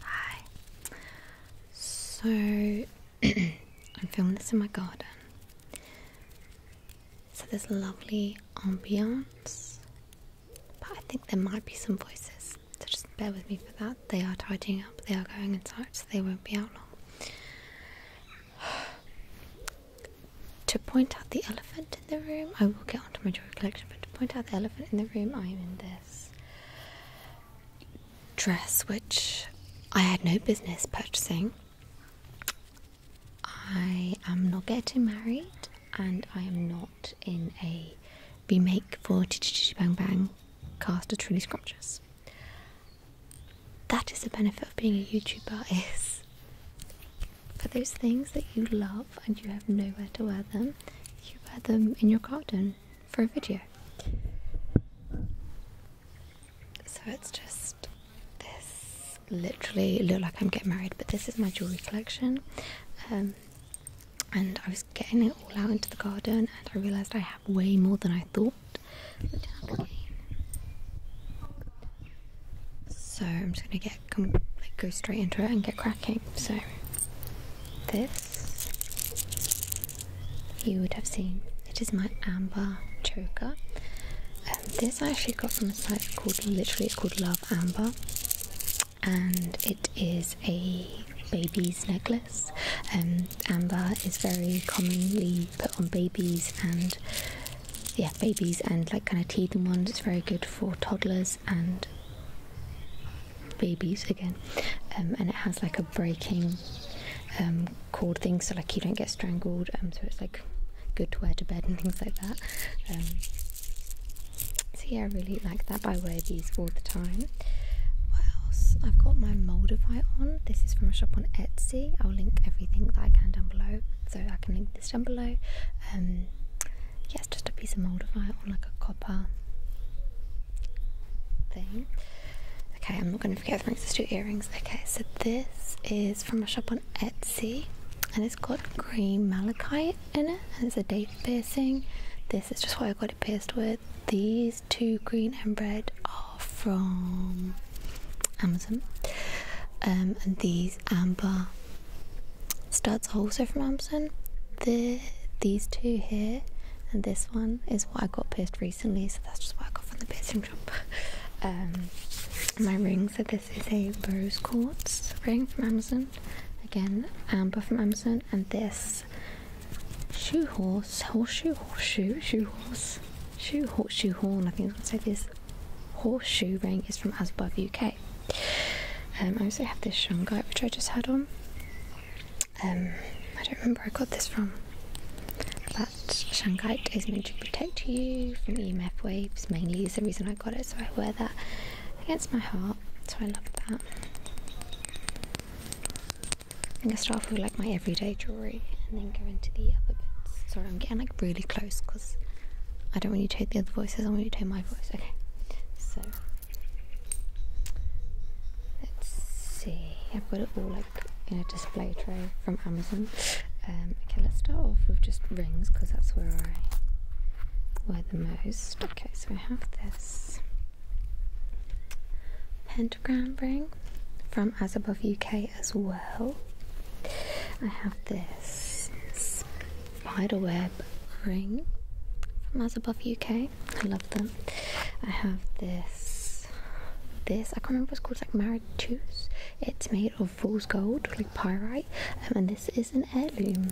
Hi. So I'm filming this in my garden. So there's lovely ambience, but I think there might be some voices. So just bear with me for that. They are tidying up. They are going inside, so they won't be out long. to point out the elephant in the room, I will get down to my jewelry collection, but to point out the elephant in the room, I am in this dress, which I had no business purchasing. I am not getting married, and I am not in a be for Chichi Bang Bang cast of Truly Scrumptious. That is the benefit of being a YouTuber is for those things that you love and you have nowhere to wear them, you wear them in your garden for a video. So it's just this literally look like I'm getting married, but this is my jewellery collection. Um, and I was getting it all out into the garden and I realised I have way more than I thought. So I'm just going to get come like go straight into it and get cracking. So this you would have seen. It is my amber choker. Um, this I actually got from a site called literally it's called Love Amber, and it is a baby's necklace. And um, amber is very commonly put on babies and yeah, babies and like kind of teething ones. It's very good for toddlers and babies again um, and it has like a breaking um, cord thing so like you don't get strangled um, so it's like good to wear to bed and things like that um, so yeah I really like that but I wear these all the time what else I've got my Moldavite on this is from a shop on Etsy I'll link everything that I can down below so I can link this down below Yes, just a piece of moldavite or like a copper thing. Okay, I'm not going to forget the rings. There's two earrings. Okay, so this is from a shop on Etsy, and it's got green malachite in it, and it's a date piercing. This is just what I got it pierced with. These two green and red are from Amazon, um, and these amber starts also from Amazon. The, these two here and this one is what I got pierced recently, so that's just what I got from the piercing shop. Um, my ring, so this is a rose quartz ring from Amazon. Again, amber from Amazon, and this shoe horse, horseshoe, horseshoe, shoe horse, shoe horse, shoe horn. I think I was say this horseshoe ring is from Asbove UK. Um, I also have this shungite which I just had on. Um, I don't remember where I got this from. That shungite is meant to protect you from EMF waves, mainly is the reason I got it. So I wear that against my heart. So I love that. I'm gonna start with like my everyday jewellery and then go into the other bits. Sorry, I'm getting like really close because I don't want you to hear the other voices, I want you to hear my voice. Okay, let's see I've got it all like in a display tray from Amazon um, okay let's start off with just rings because that's where I wear the most okay so I have this pentagram ring from As Above UK as well I have this Spiderweb ring from As Above UK. I love them. I have this. This I can't remember what it's called. It's like Mauritius. It's made of fool's gold, like pyrite, um, and this is an heirloom.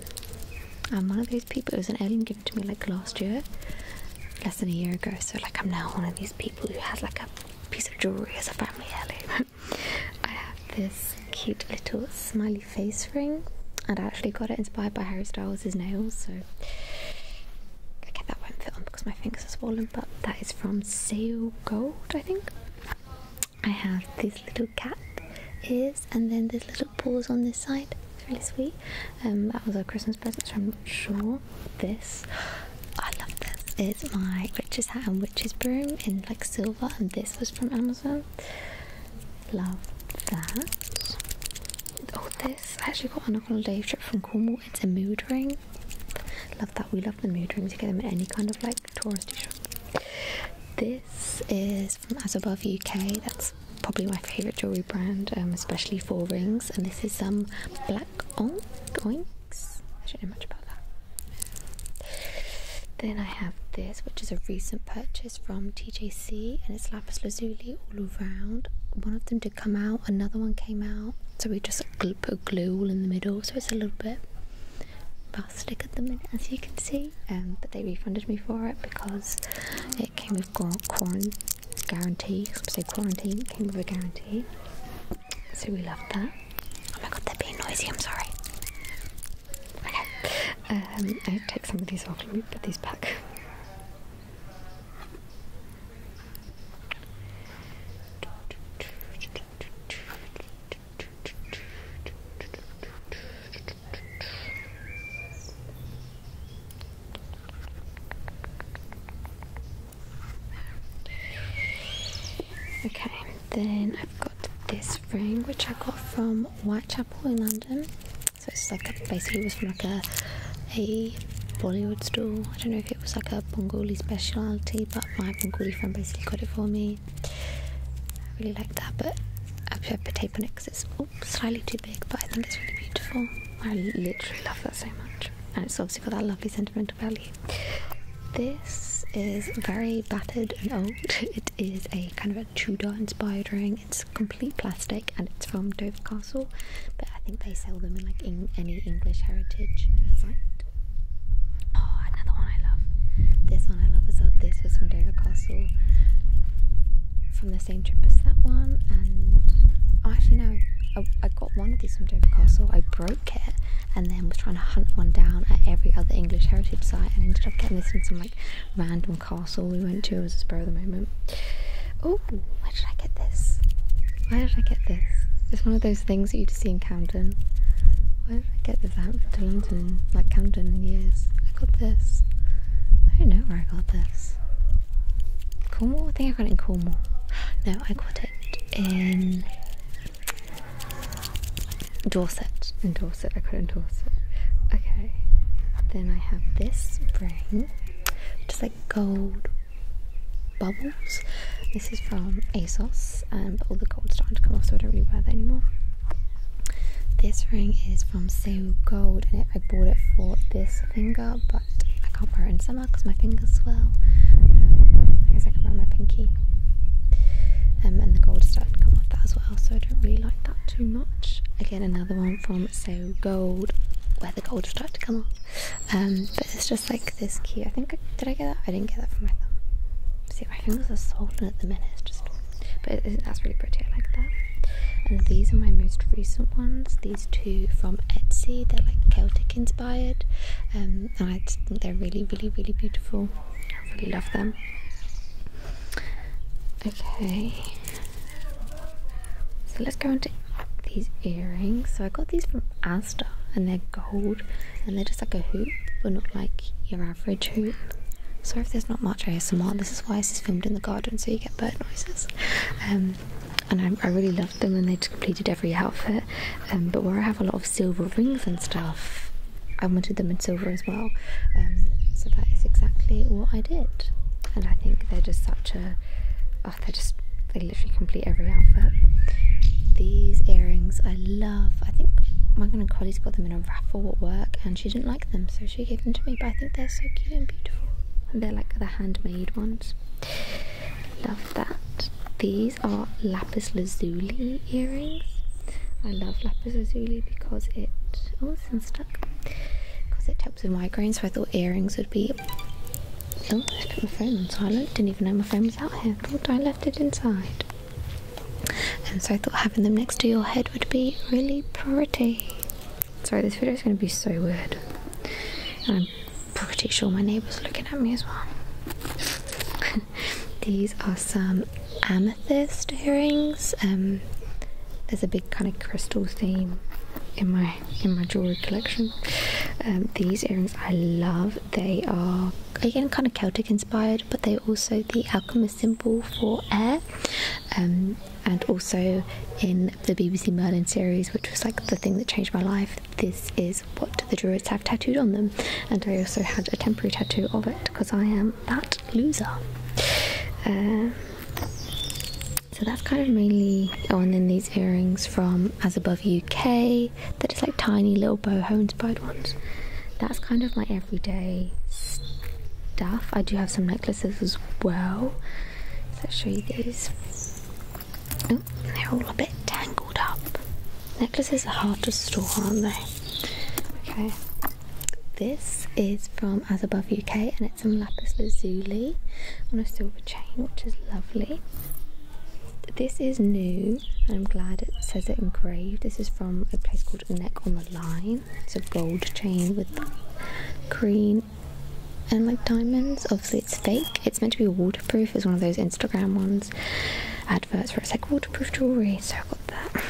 I'm one of those people. It was an heirloom given to me like last year, less than a year ago. So like I'm now one of these people who has like a piece of jewelry as a family heirloom. I have this cute little smiley face ring, and I actually got it inspired by Harry Styles' nails. So, okay, that won't fit on because my fingers are swollen. But that is from Sale Gold, I think. I have this little cat ears, and then there's little paws on this side. It's really sweet. Um, that was a Christmas present, so I'm not sure. This, I love this. It's my witch's hat and witch's broom in like silver, and this was from Amazon. Love that. Oh, this I actually got on a holiday trip from Cornwall. It's a mood ring. Love that. We love the mood rings. You get them in any kind of like touristy shop. This is from As Above UK. That's probably my favourite jewellery brand, um, especially for rings. And this is some black oink oinks. I don't know much about that. Then I have this, which is a recent purchase from TJC and it's lapis lazuli all around. One of them did come out, another one came out, so we just put glue all in the middle, so it's a little bit plastic at the minute, as you can see. And um, they refunded me for it because it came with quarantine guarantee. say quarantine came with a guarantee, so we love that. Oh my god, they're being noisy. I'm sorry. Okay. Um, I take some of these off. Let me put these back. Okay, then I've got this ring which I got from White Chapel in London. So it's like basically was from like a Bollywood store. I don't know if it was like a Bengali specialty, but my Bengali friend basically got it for me. I really like that, but I have to tape on it because it's slightly too big, but I think it's really beautiful. I literally love that so much, and it's obviously got that lovely sentimental value. This is very battered and old. It is a kind of a Tudor inspired ring. It's complete plastic and it's from Dover Castle, but I think they sell them in like any English heritage site. Oh, another one I love. This one I love as well. This was from Dover Castle from the same trip as that one. And oh, actually, no, I, I got one of these from Dover Castle. I broke it and then was trying to hunt one down at every other English heritage site and ended up getting this from some like random castle we went to was a spur of the moment. Oh, where did I get this? Where did I get this? It's one of those things that you just see in Camden. Where did I get this? I haven't been to London, like Camden, in years. I got this. I don't know where I got this. Cornwall? I think I got it in Cornwall. No, I got it in Dorset. In Dorset. I could endorse it. Okay. Then I have this ring, just like gold bubbles. This is from ASOS, and but all the gold's starting to come off, so I don't really wear that anymore. This ring is from Seoul and I bought it for this finger, but I can't wear it in summer because my fingers swell. Um, I guess I can wear my pinky. Um, and the gold is starting to come off that as well, so I don't really like not too much. Again, another one from So Gold, where the gold will to come off. Um, but it's just like this key. I think, did I get that? I didn't get that from my thumb. See, my fingers are swollen at the minute. just, but that's really pretty. I like that. And these are my most recent ones. These two from Etsy. They're like Celtic inspired, um, and they're really, really, really beautiful. I really love them. Okay. So let's go into these earrings. So I got these from Asda and they're gold and they're just like a hoop but not like your average hoop. Sorry if there's not much ASMR, this is why this is filmed in the garden so you get bird noises. Um, and I, really loved them and they just completed every outfit. Um, but where I have a lot of silver rings and stuff, I wanted them in silver as well. Um, so that is exactly what I did, and I think they're just such a oh, they're just they literally complete every outfit. These earrings I love. I think my good colleague's got them in a raffle at work, and she didn't like them, so she gave them to me. But I think they're so cute and beautiful, and they're like the handmade ones. Love that. These are lapis lazuli earrings. I love lapis lazuli because it, oh, it's in because it helps with migraines. So I thought earrings would be. Oh, let's put my phone on silent. Didn't even know my phone was out here. Thought I left it inside. And so I thought having them next to your head would be really pretty. Sorry, this video is going to be so weird. I'm pretty sure my neighbour's looking at me as well. These are some amethyst earrings. Um, there's a big kind of crystal theme in my in my jewelry collection. Um, these earrings I love. They are again kind of Celtic inspired, but they're also the alchemist symbol for air. Um, and also in the BBC Merlin series, which was like the thing that changed my life, this is what the Druids have tattooed on them. And I also had a temporary tattoo of it because I am that loser. Um, so that's kind of mainly. Oh, and then these earrings from As Above UK. They're just like tiny little boho inspired ones. That's kind of my everyday stuff. I do have some necklaces as well. Let's show you these. Oh, they're all a bit tangled up. Necklaces are hard to store, aren't they? Okay. This is from As Above UK and it's some lapis lazuli on a silver chain, which is lovely. This is new and I'm glad it says it engraved. This is from a place called Neck on the Line. It's a gold chain with green and like diamonds. Obviously, it's fake. It's meant to be waterproof. It's one of those Instagram ones, adverts where it's like waterproof jewelry. So I got that.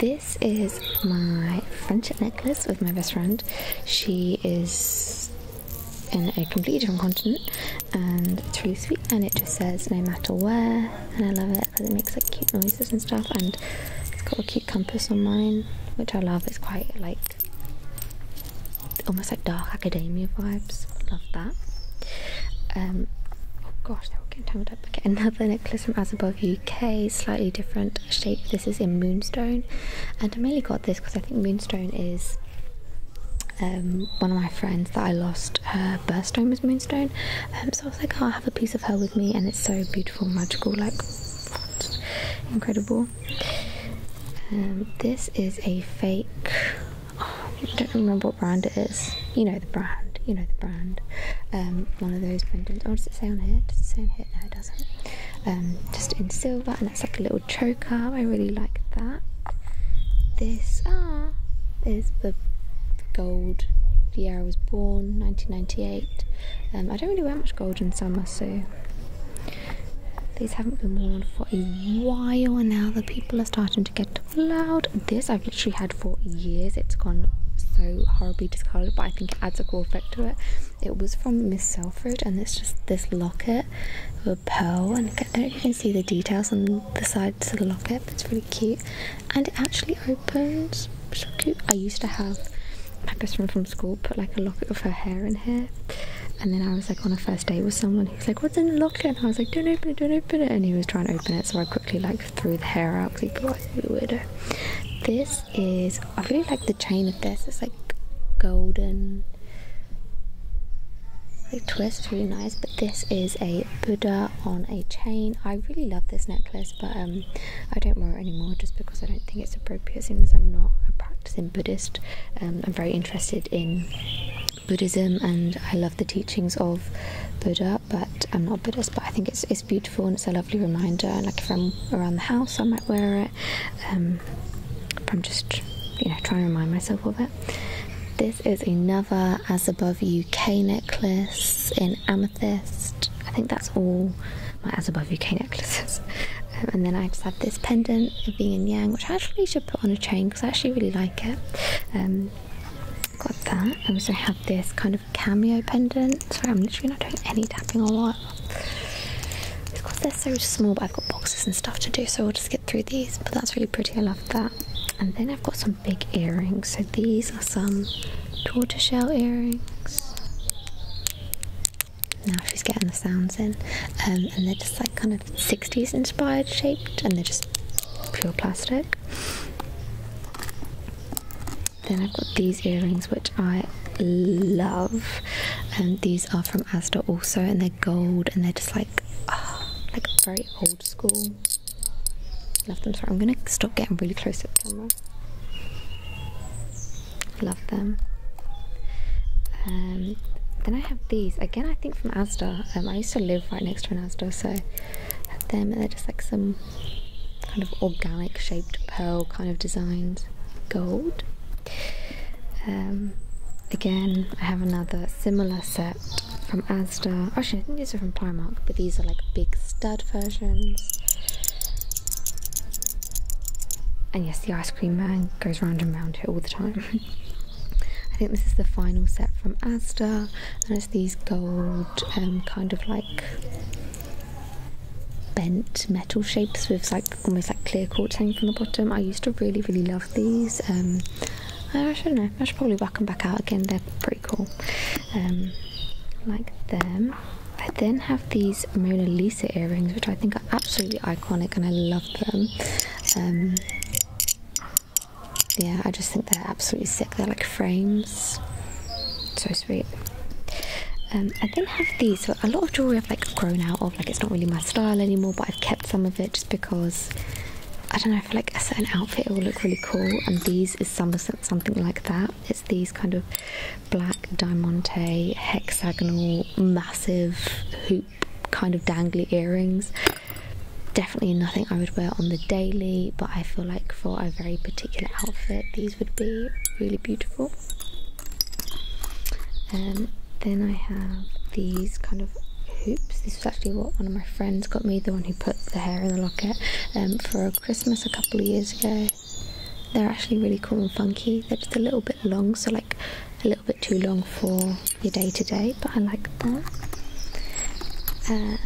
This is my friendship necklace with my best friend. She is in a completely different continent and true really sweet and it just says no matter where and I love it because it makes like cute noises and stuff and it's got a cute compass on mine which I love. It's quite like almost like dark academia vibes. Love that. Um, oh gosh, now we're getting tangled up. Okay, another necklace from As Above UK, slightly different shape this is in moonstone and i mainly got this because i think moonstone is um, one of my friends that I lost her birthstone was Moonstone, um, so I was like, I'll oh, have a piece of her with me, and it's so beautiful, magical, like incredible. Um, this is a fake, oh, I don't remember what brand it is. You know the brand, you know the brand. one of those pendants. What oh, does it say on here? Does it say on here? no it doesn't um, just in silver and it's like a little choker i really like that this ah is the gold the year i was born 1998 um, i don't really wear much gold in summer so these haven't been worn for a while now the people are starting to get loud this i've literally had for years it's gone so horribly discolored but i think it adds a cool effect it. was from Miss Selfridge, and it's just this locket with a pearl, and I don't know if you can see the details on the sides of the locket, it's really cute. And it actually opens. So cute. I used to have my best friend from school put like a locket of her hair in here. And then I was like on a first date with someone who's like, What's in the locket? And I was like, Don't open it, don't open it. And he was trying to open it. So I quickly like threw the hair out because he was like, Weirdo. This is I really like the chain of this. It's like golden like twist, really nice. But this is a Buddha on a chain. I really love this necklace, but um, I don't wear it anymore just because I don't think it's appropriate. Seeing as I'm not a practicing Buddhist, um, I'm very interested in Buddhism and I love the teachings of Buddha. But I'm not Buddhist, but I think it's it's beautiful and it's a lovely reminder. Like if I'm around the house, I might wear it. Um, I'm just, you know, trying to remind myself of it. This is another As Above UK necklace in amethyst. I think that's all my As Above UK necklaces. Um, and then I just have this pendant of being in yang, which I actually should put on a chain because I actually really like it. Um, got that. I also have this kind of cameo pendant. Sorry, I'm literally not doing any tapping or what. because they're so small, but I've got boxes and stuff to do, so we'll just get through these. But that's really pretty, I love that. And then I've got some big earrings. So these are some tortoiseshell earrings. Now she's getting the sounds in. Um, and they're just like kind of 60s inspired shaped, and they're just pure plastic. Then I've got these earrings which I love. And these are from Asda also and they're gold and they're just like ah, like very old school. Love them. Sorry, I'm gonna stop getting really close to the camera. Love them. Um, then I have these again. I think from Asda. Um, I used to live right next to an Asda, so them. And they're just like some kind of organic shaped pearl kind of designs. Gold. Um, again, I have another similar set from Asda. Actually, I think these are from Primark, but these are like big stud versions. And yes, the ice cream man goes round and round here all the time. I think this is the final set from Asda, and it's these gold um, kind of like bent metal shapes with like almost like clear quartz hanging from the bottom. I used to really really love these. Um, I don't know. I should probably back them back out again. They're pretty cool. Um, like them. I then have these Mona Lisa earrings, which I think are absolutely iconic, and I love them. Um, yeah, I just think they're absolutely sick. They're like frames. So sweet. Um, I then have these. So a lot of jewelry I've like grown out of. Like it's not really my style anymore, but I've kept some of it just because I don't know. I feel like a certain outfit it will look really cool, and these is some something like that. It's these kind of black diamante hexagonal massive hoop kind of dangly earrings. Definitely nothing I would wear on the daily, but I feel like for a very particular outfit, these would be really beautiful. Um, then I have these kind of hoops. This is actually what one of my friends got me, the one who put the hair in the locket, um, for Christmas a couple of years ago. They're actually really cool and funky. They're just a little bit long, so like a little bit too long for your day to day, but I like them. Uh,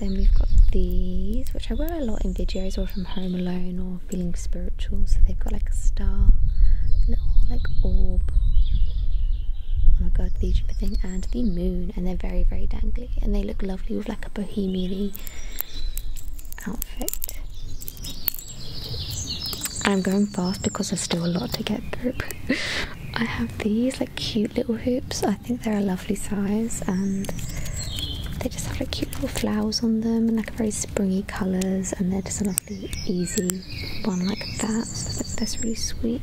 then we've got these, which I wear a lot in videos or from home alone or feeling spiritual. So they've got like a star, little like orb. Oh my god, the thing and the moon, and they're very very dangly, and they look lovely with like a bohemian outfit. I'm going fast because there's still a lot to get through. I have these like cute little hoops. I think they're a lovely size and just have like cute little flowers on them and like very springy colours and they're just a lovely easy one like that so that's really sweet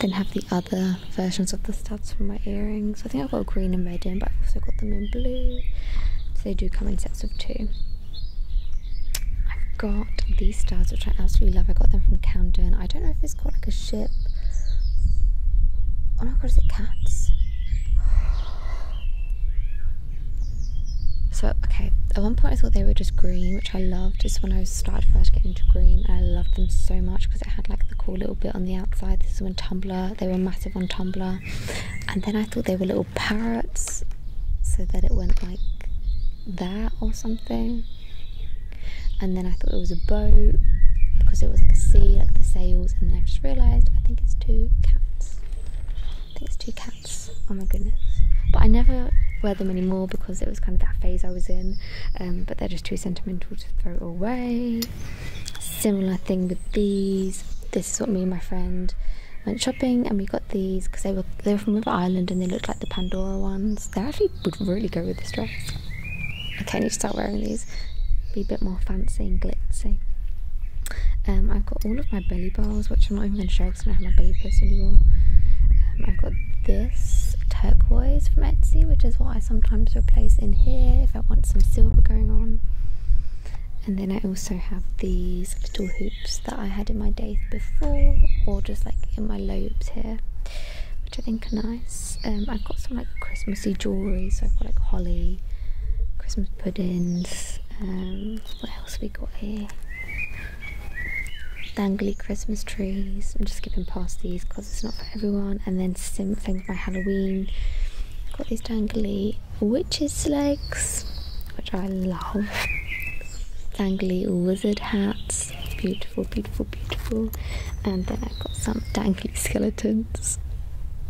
then have the other versions of the studs for my earrings I think I've got green and red in but I've also got them in blue so they do come in sets of two I've got these studs which I absolutely love I got them from Camden I don't know if it's got like a ship oh my god is it cats so, okay, at one point I thought they were just green, which I loved. Just when I started first getting into green, I loved them so much because it had like the cool little bit on the outside. This is on Tumblr, they were massive on Tumblr. And then I thought they were little parrots, so that it went like that or something. And then I thought it was a boat because it was like a sea, like the sails. And then I just realised I think it's two cats. I think it's two cats. Oh my goodness. But I never wear them anymore because it was kind of that phase I was in. Um, but they're just too sentimental to throw away. Similar thing with these. This is what me and my friend went shopping and we got these because they were they were from River Island and they looked like the Pandora ones. They actually would really go with this dress. Okay, I need to start wearing these. Be a bit more fancy and glitzy. Um, I've got all of my belly bars, which I'm not even going to show because I don't have my belly pierced anymore. Um, I've got this turquoise from Etsy, which is what I sometimes replace in here if I want some silver going on. And then I also have these little hoops that I had in my days before, or just like in my lobes here, which I think are nice. Um, I've got some like Christmassy jewellery, so I've got like holly Christmas puddings. Um, what else we got here? Dangly Christmas trees. I'm just skipping past these because it's not for everyone. And then some things by Halloween. got these dangly witches' legs, which I love. Dangly wizard hats. Beautiful, beautiful, beautiful. And then I've got some dangly skeletons.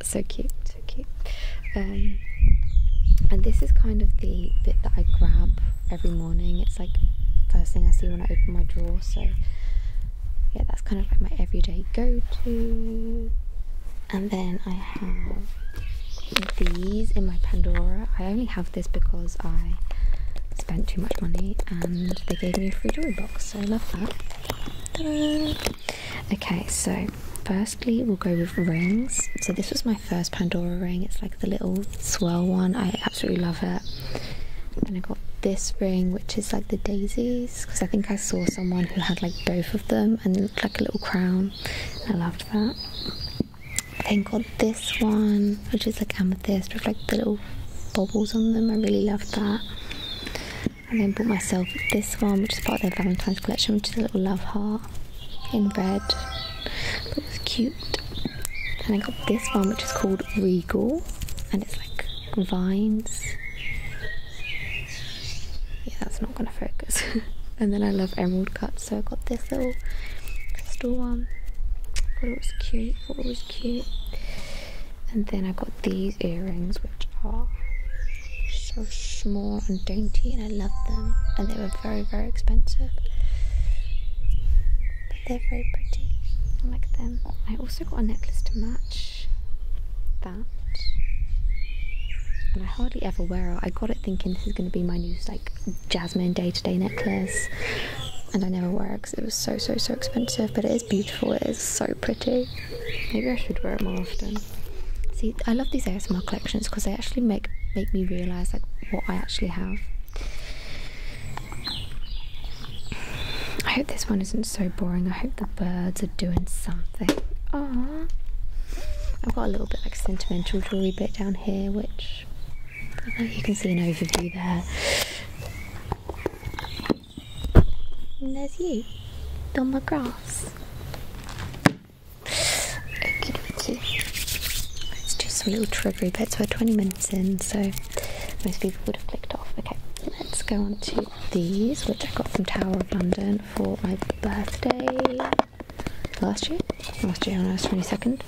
So cute so cute. Um, and this is kind of the bit that I grab every morning. It's like first thing I see when I open my drawer. So yeah, that's kind of like my everyday go-to. And then I have these in my Pandora. I only have this because I spent too much money and they gave me a free jewelry box. So I love that. Okay, so firstly we'll go with rings. So this was my first Pandora ring. It's like the little swirl one. I absolutely love it. And I got this ring, which is like the daisies, because I think I saw someone who had like both of them and looked like a little crown. I loved that. I then got this one, which is like amethyst with like the little bubbles on them. I really loved that. I then bought myself this one, which is part of their Valentine's collection, which is a little love heart in red. But it was cute. And I got this one, which is called Regal, and it's like vines. Yeah, that's not gonna focus. and then I love emerald cuts, so I got this little crystal one. I thought it was cute. I thought it was cute. And then I got these earrings, which are so small and dainty, and I love them. And they were very, very expensive. But they're very pretty. I like them. I also got a necklace to match that. And I hardly ever wear it. I got it thinking this is going to be my new like jasmine day-to-day necklace, and I never wear it because it was so so so expensive. But it is beautiful. It is so pretty. Maybe I should wear it more often. See, I love these ASMR collections because they actually make make me realise like what I actually have. I hope this one isn't so boring. I hope the birds are doing something. Aww. I've got a little bit like sentimental jewelry bit down here, which you can see an overview there there's you, Don McGrath. Okie dokie. Let's do some little triggery bits. We're 20 minutes in, so most people would have clicked off. Okay, let's go on to these, which I got from Tower of London for my birthday last year. Last year 22nd.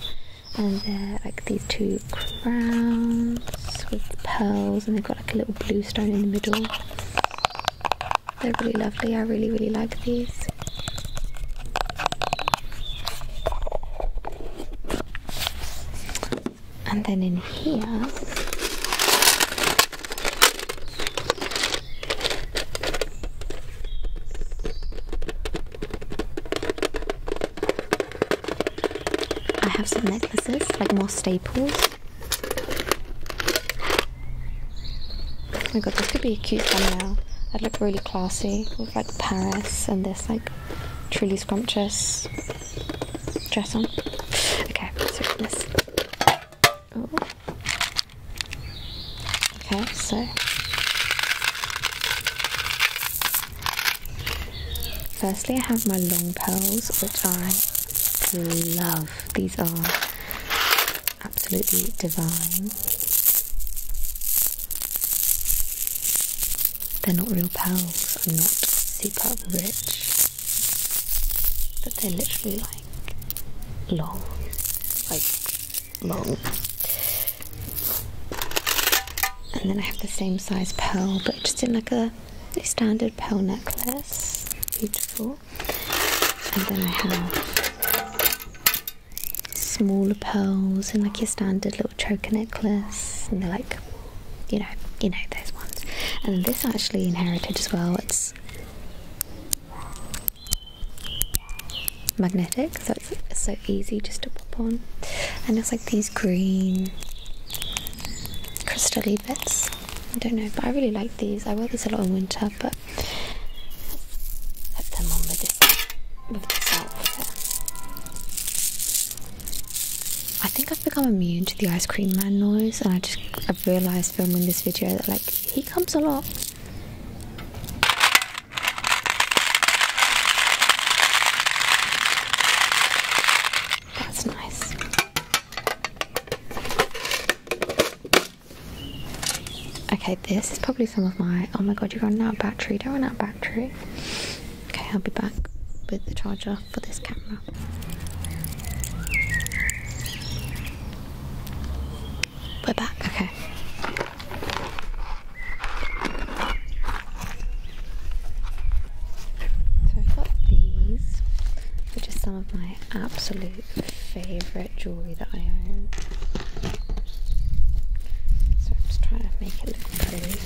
And they're like these two crowns with pearls, and they've got like a little blue stone in the middle. They're really lovely. I really, really like these. And then in here, I have some necklaces, like more staples. Oh my god, this could be a cute thumbnail. I'd look really classy with like Paris and this like truly scrumptious dress on. Okay, so this. Oh. Okay, so Firstly, I have my long pearls, which I really love. These are absolutely divine. They're not real pearls, I'm not super rich, but they're literally like long, like long. And then I have the same size pearl, but just in like a standard pearl necklace. Beautiful and then I have smaller pearls and like your standard little choker necklace, and they're like, you know, you know those ones. And this I actually inherited as well. It's magnetic, so it's, so easy just to pop on. And it's like these green crystal bits. I don't know, but I really like these. I wear these a lot in winter, but put them on with this, I think I've become immune to the ice cream man noise, and I just I've realised filming this video that like he comes a lot. That's nice. Okay, this is probably some of my. Oh my god, you're running out battery. Don't run out battery. Okay, I'll be back with the charger for this camera. We're back, okay. So i got these, which are some of my absolute favourite jewellery that I own. So I'm just trying to make it look pretty.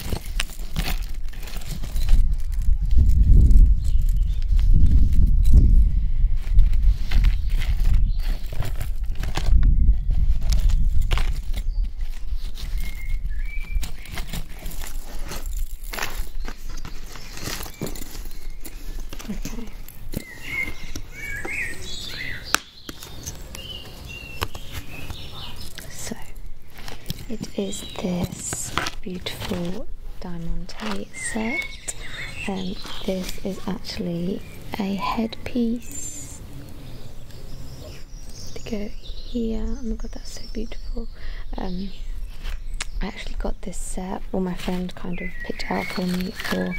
So it is this beautiful diamante set. and um, this is actually a headpiece to go here. Oh my god, that's so beautiful. Um, actually got this set, or my friend kind of picked out for me for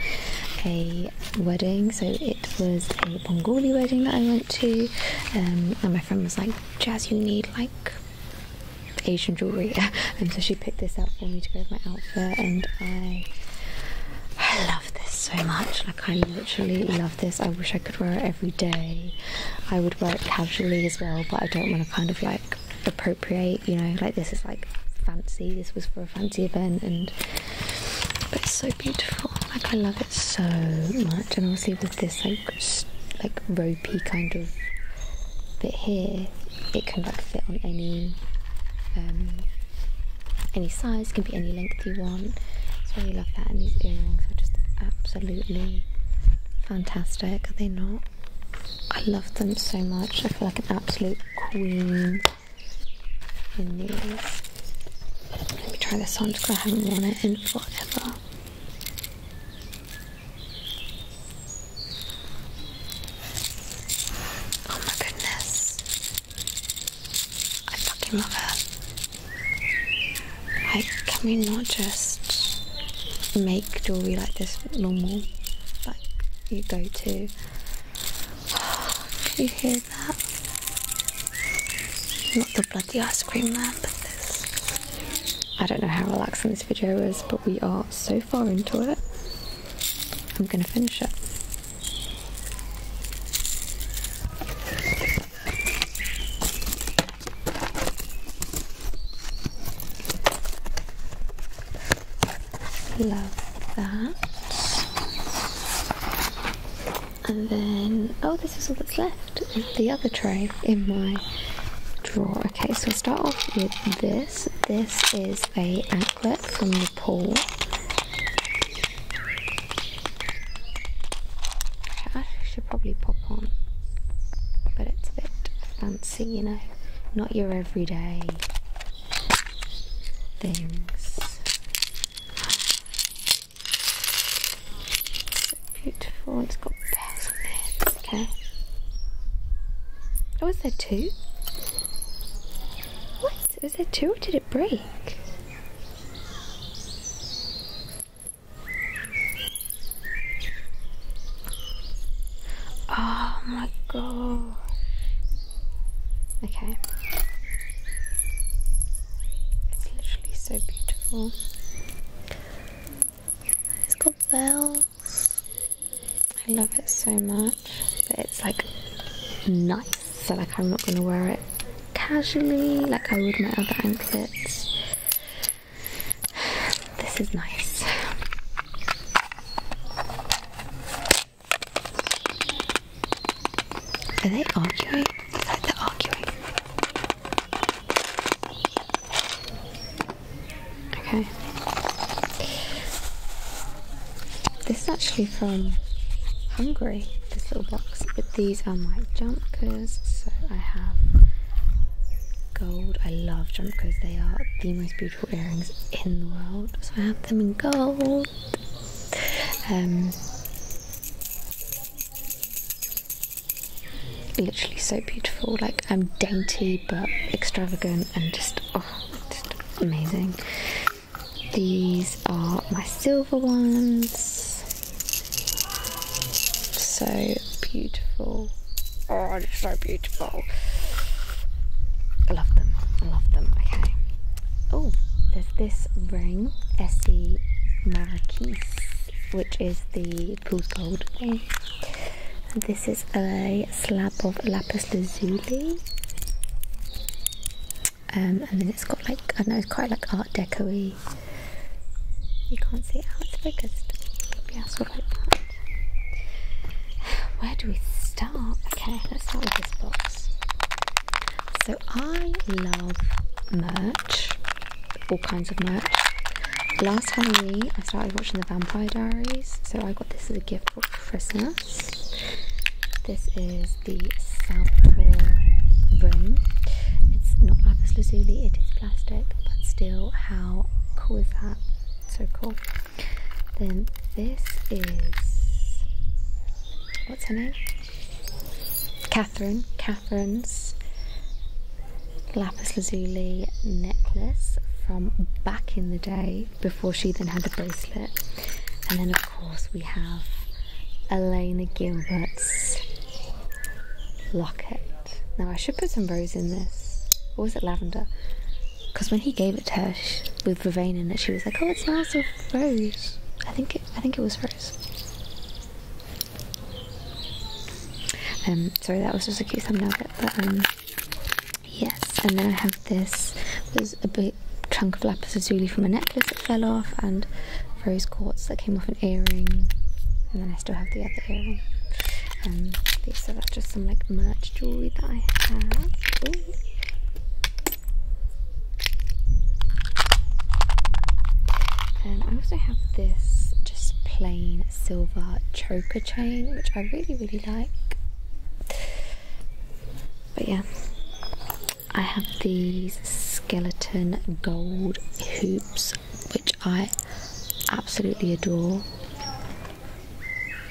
a wedding. So it was a Bengali wedding that I went to, um, and my friend was like, "Jazz, you need like." Asian jewelry, and so she picked this out for me to go with my outfit, and I I love this so much. Like, I literally love this. I wish I could wear it every day. I would wear it casually as well, but I don't want to kind of like appropriate you know, like this is like fancy, this was for a fancy event and but it's so beautiful. Like I love it so much and obviously with this like like ropey kind of bit here, it can like fit on any um, any size, can be any length you want. So I really love that and these earrings are just absolutely fantastic, are they not? I love them so much. I feel like an absolute queen in these. Let me try this on because I haven't worn it in forever. Oh my goodness. I fucking love it. Like, can we not just make jewelry like this normal? you go to. Oh, can you hear that? Not the bloody ice cream man, but this. I don't know how relaxing this video is, but we are so far into it. I'm gonna finish it. Love that. And then, oh, this is all that's left the other tray in my drawer. Okay, so we'll start off with this. This is a anklet from Nepal. I should probably pop on, but it's a bit fancy fancy, you know, not your everyday things. beautiful, it's got bells in it. Okay. Oh, is there two? was there two or did it break? Oh my god. Okay. It's literally so beautiful. It's got bells. I love it so much. But it's like nice. So like I'm not gonna wear it casually like I would my other anklets. This is nice. Are they arguing? It's like they arguing. Okay. This is actually from Hungary, this little box, but these are um, my jumpers. So I have gold. I love jumpers, they are the most beautiful earrings in the world. So I have them in gold. Um, literally so beautiful. Like I'm dainty but extravagant and just oh, amazing. These are my silver ones. So beautiful. Oh, they're so beautiful. I love them. I love them. Okay. Oh, there's this ring, Essie Marquise, which is the pool gold ring. And this is a slab of lapis lazuli. Um, and then it's got like, I know, it's quite like art decoy. You can't see it how it's focused. Maybe Where do we start? Okay, let's start with this box. So I love merch, all kinds of merch. Last Halloween, I started watching The Vampire Diaries, so I got this as a gift for Christmas. This is the Southpaw ring. It's not lapis lazuli, it is plastic, but still, how cool is that? So cool. Then this is what's her name? Catherine. Catherine's lapis lazuli necklace from back in the day before she then had the bracelet. And then of course we have Elena Gilbert's locket. Now I should put some rose in this. Or was it lavender? Because when he gave it to her with vervain in it, she was like, "Oh, it smells of rose." I think it, I think it was rose. Um, sorry, that was just a cute thumbnail but um, yes. And then I have this was a bit chunk of lapis lazuli from a necklace that fell off, and rose quartz that came off an earring, and then I still have the other earring. Um, these are just some like merch jewelry that I have. And um, I also have this just plain silver choker chain, which I really, really like. But yeah, I have these skeleton gold hoops, which I absolutely adore.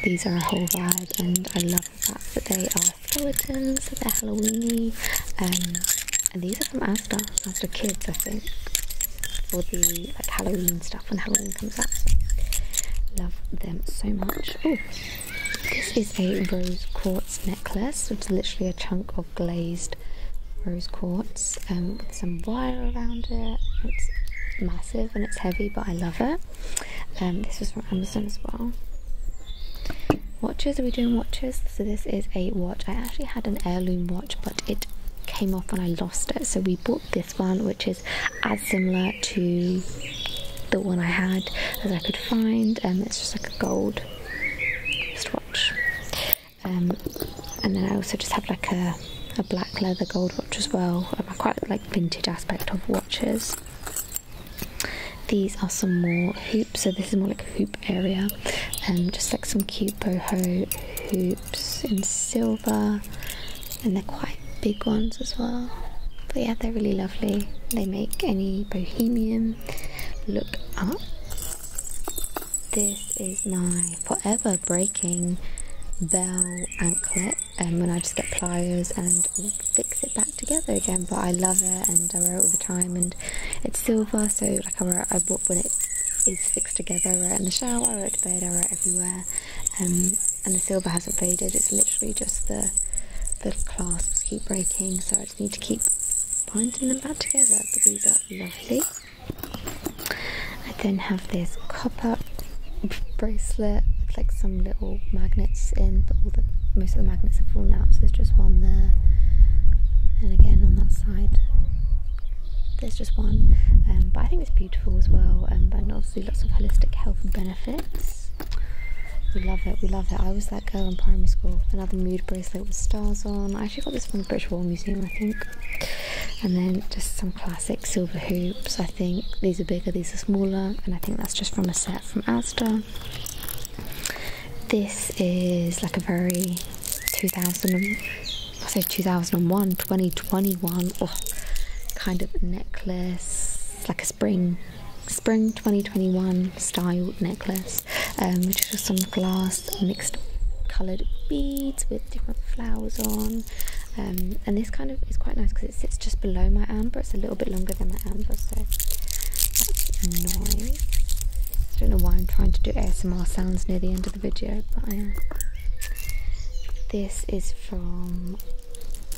These are a whole vibe, and I love that. But they are skeletons, so they're Halloweeny, um, and these are from Asda, after Kids, I think, for the like Halloween stuff when Halloween comes out. Love them so much. this is a rose quartz necklace, which is literally a chunk of glazed rose quartz um, with some wire around it. It's massive and it's heavy, but I love it. Um, this was from Amazon as well. Watches, are we doing watches? So this is a watch. I actually had an heirloom watch, but it came off and I lost it. So we bought this one, which is as similar to the one I had as I could find. And um, it's just like a gold wristwatch. Um, and then I also just have like a a black leather gold watch as well. I quite like vintage aspect of watches. These are some more hoops, so this is more like hoop area. and um, just like some cute boho hoops in silver, and they're quite big ones as well. But yeah, they're really lovely. They make any bohemian look up. This is my forever breaking bell anklet and um, when I just get pliers and fix it back together again. But I love it and I wear it all the time. And it's silver, so like I wear it, I bought when it is fixed together. I wear it in the shower, I wear it to bed, I wear it everywhere. Um, and the silver hasn't faded. It's literally just the the clasps keep breaking, so I just need to keep binding them back together. But these are lovely. I then have this copper bracelet with like some little magnets in, but all the, most of the magnets have fallen out, so there's just one there. And again on that side, there's just one. Um, but I think it's beautiful as well, um, and obviously lots of holistic health benefits. We love it, we love it. I was that girl in primary school. Another mood bracelet with stars on. I actually got this from the British War Museum, I think. And then just classic silver hoops. I think these are bigger, these are smaller, and I think that's just from a set from Asda. This is like a very 2000, I say 2001, 2021 kind of necklace, like a spring spring 2021 style necklace um, which is just some glass mixed coloured beads with different flowers on um, and this kind of is quite nice because it sits just below my arm, but it's a little bit longer than my arm, so that's nice I don't know why I'm trying to do ASMR sounds near the end of the video but I am this is from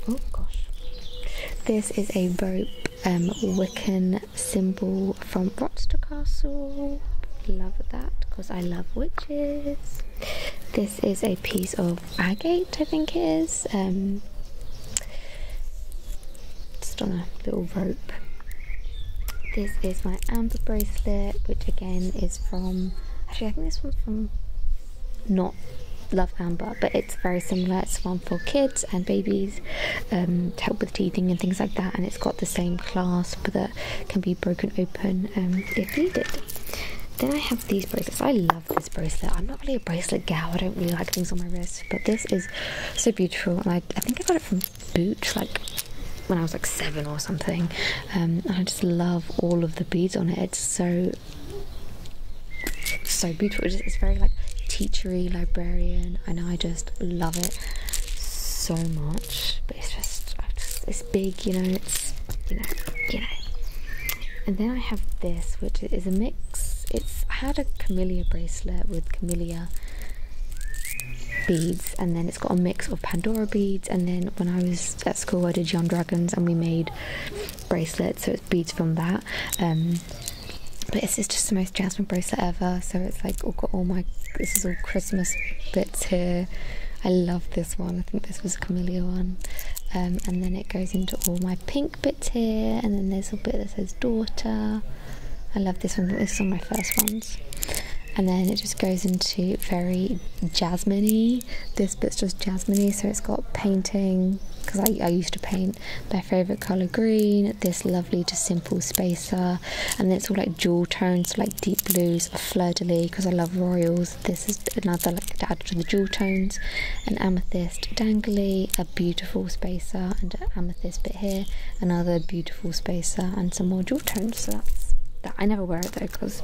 oh gosh this is a rope um, Wiccan symbol from Rochester Castle love that because I love witches. This this is a piece of agate, I think it is. Um, just on a little rope. This is my amber bracelet, which again is from. Actually, I think this one's from not Love Amber, but it's very similar. It's one for kids and babies um, to help with teething and things like that, and it's got the same clasp that can be broken open um, if needed. Then I have these bracelets. I love bracelet. I'm not really a bracelet gal. I don't really like things on my wrist, but this is so beautiful. And I, think I got it from Booch, like when I was like seven or something. Um, and I just love all of the beads on it. It's so so beautiful. It's, very like teachery, librarian, and I just love it so much. But it's just, just it's big, you know. It's you know, you know. And then I have this, which is a mix. It's had a camellia bracelet with camellia beads, and then it's got a mix of Pandora beads. And then when I was at school, I did Young Dragons, and we made bracelets, so it's beads from that. Um, but this is just the most jasmine bracelet ever. So it's like all got all my this is all Christmas bits here. I love this one. I think this was a camellia one, um, and then it it goes into all my pink bits here and then there's a bit that says daughter I love this one, this is one of my first ones and then it just goes into very jasminey. This bit's just jasminey, so it's got painting because I, used to paint my favorite color green. This lovely, just simple spacer, and then it's all like jewel tones, like deep blues, fleur de lis because I love royals, this is another like to add to the jewel tones. An amethyst dangly, a beautiful spacer and an amethyst bit here, another beautiful spacer and some more jewel tones. So that's that. I never wear it though because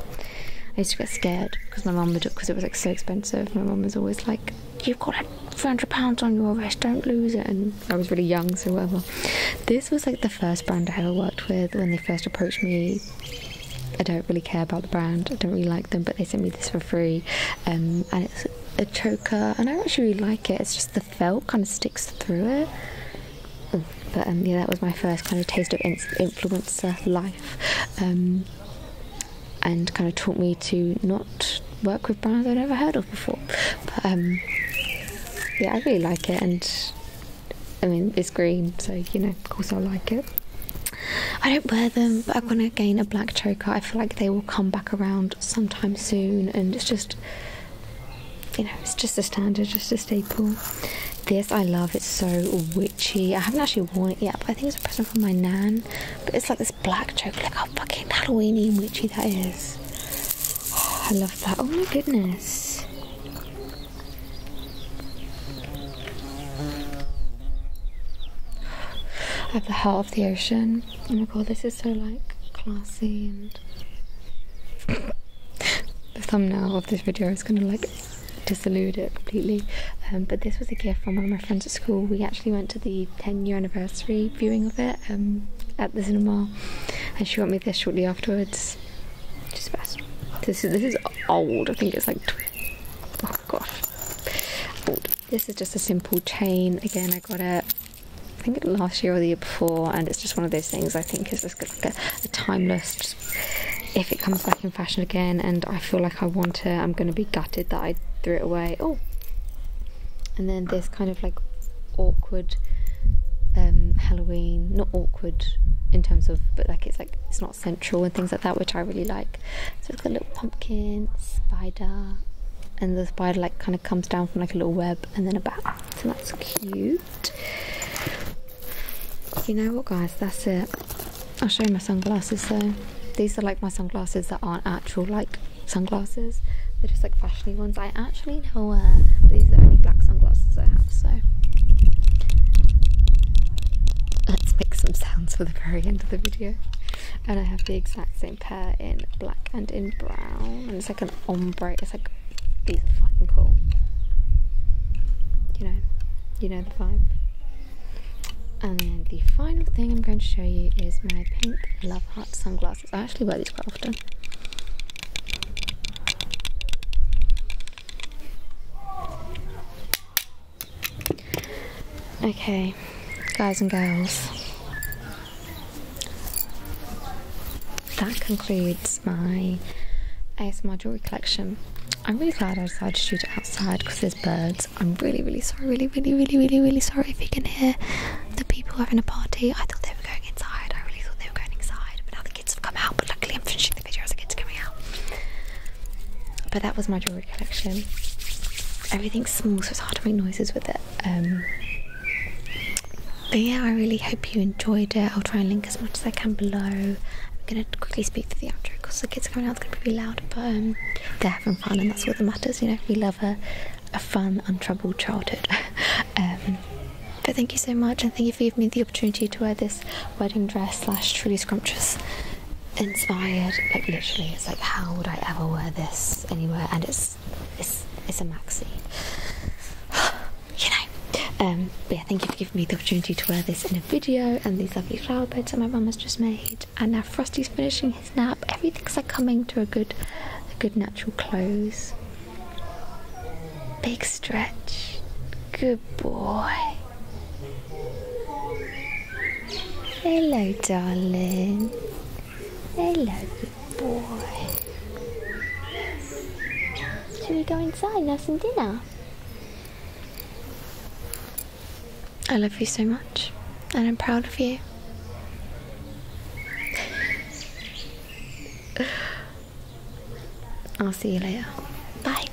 I used to get scared because my mum would because it was like so expensive. My mum was always like, "You've got like three hundred pounds on your wrist. Don't lose it." And I was really young, so whatever. This was like the first brand I ever worked with when they first approached me. I don't really care about the brand. I don't really like them, but they sent me this for free, um, and it's a choker, and I actually really like it. It's just the felt kind of sticks through it. but um, yeah, that was my first kind of taste of influencer life, um, and kind of taught me to not work with brands I'd never heard of before. But yeah, I really like it, and I mean it's green, so you know, of course I like it. I don't wear them, but I want to gain a black choker. I feel like they will come back around sometime soon, and it's just, you know, it's just a standard, just a staple. This I love, it's so witchy. I haven't actually worn it yet, but I think it's a present from my nan. But it's like this black choker, like how fucking Halloweeny and witchy that is. Oh, I love that. Oh my goodness. At the heart of the ocean. Oh my god, this is so like classy and the thumbnail of this video is gonna like dissolute it completely. Um, but this was a gift from one of my friends at school. We actually went to the 10 year anniversary viewing of it um, at the cinema, and she got me this shortly afterwards. Just best. This is this is old. I think it's like oh gosh. This is just a simple chain. Again, I got it. I think last year or the year before, and it's just one of those things I think is just a, timeless. if it comes back in fashion again, and I feel like I want it, I'm going to be gutted that I threw it away. Oh, and then this kind of like awkward um, Halloween, not awkward in terms of, but like it's like it's not Central and things like that, which I really like. So it's got a little pumpkin, spider, and the spider like kind of comes down from like a little web and then a bat. So that's cute. You know what, guys? That's it. I'll show you my sunglasses though. These are like my sunglasses that aren't actual like sunglasses. They're just like fashiony ones. I actually now wear. These are only black sunglasses I have. So let's make some sound for the very end of the video. And I have the exact same pair in black and in brown. And it's like an ombre. It's like, these are fucking cool. You know, you know the vibe. And the final thing I'm going to show you is my pink Love Heart sunglasses. I actually wear these quite often. Okay, guys and girls, that concludes my ASMR jewelry collection. I'm really glad I decided to shoot it outside because there's birds. I'm really, really sorry, really, really, really, really, really sorry if you can hear the people having a party. I thought they were going inside. I really thought they were going inside, but now the kids have come out. But luckily, I'm finishing the video as the kids are coming out. But that was my jewelry keyboard Everything's small, so it's hard to make noises with it. Um, but yeah, I really hope you enjoyed it. I'll try and link as much as I can below. I'm gonna quickly speak through the outro because the kids are coming out, it's gonna be really loud, but um, they're having fun and that's all that matters, you know. We love a, fun, untroubled childhood. Um, but thank you so much and thank you for giving me the opportunity to wear this wedding dress slash truly scrumptious inspired. Like literally, it's like how would I ever wear this anywhere? And it's it's it's a maxi. you know. Um, but yeah, thank you for giving me the opportunity to wear this in a video and these lovely flower beds that my mum has just made. And now Frosty's finishing his nap. Everything's like coming to a good, a good natural close. Big stretch. Good boy. Hello, darling. Hello, good boy. Should we go inside and have some dinner? I love you so much, and I'm proud of you. I'll see you later. Bye.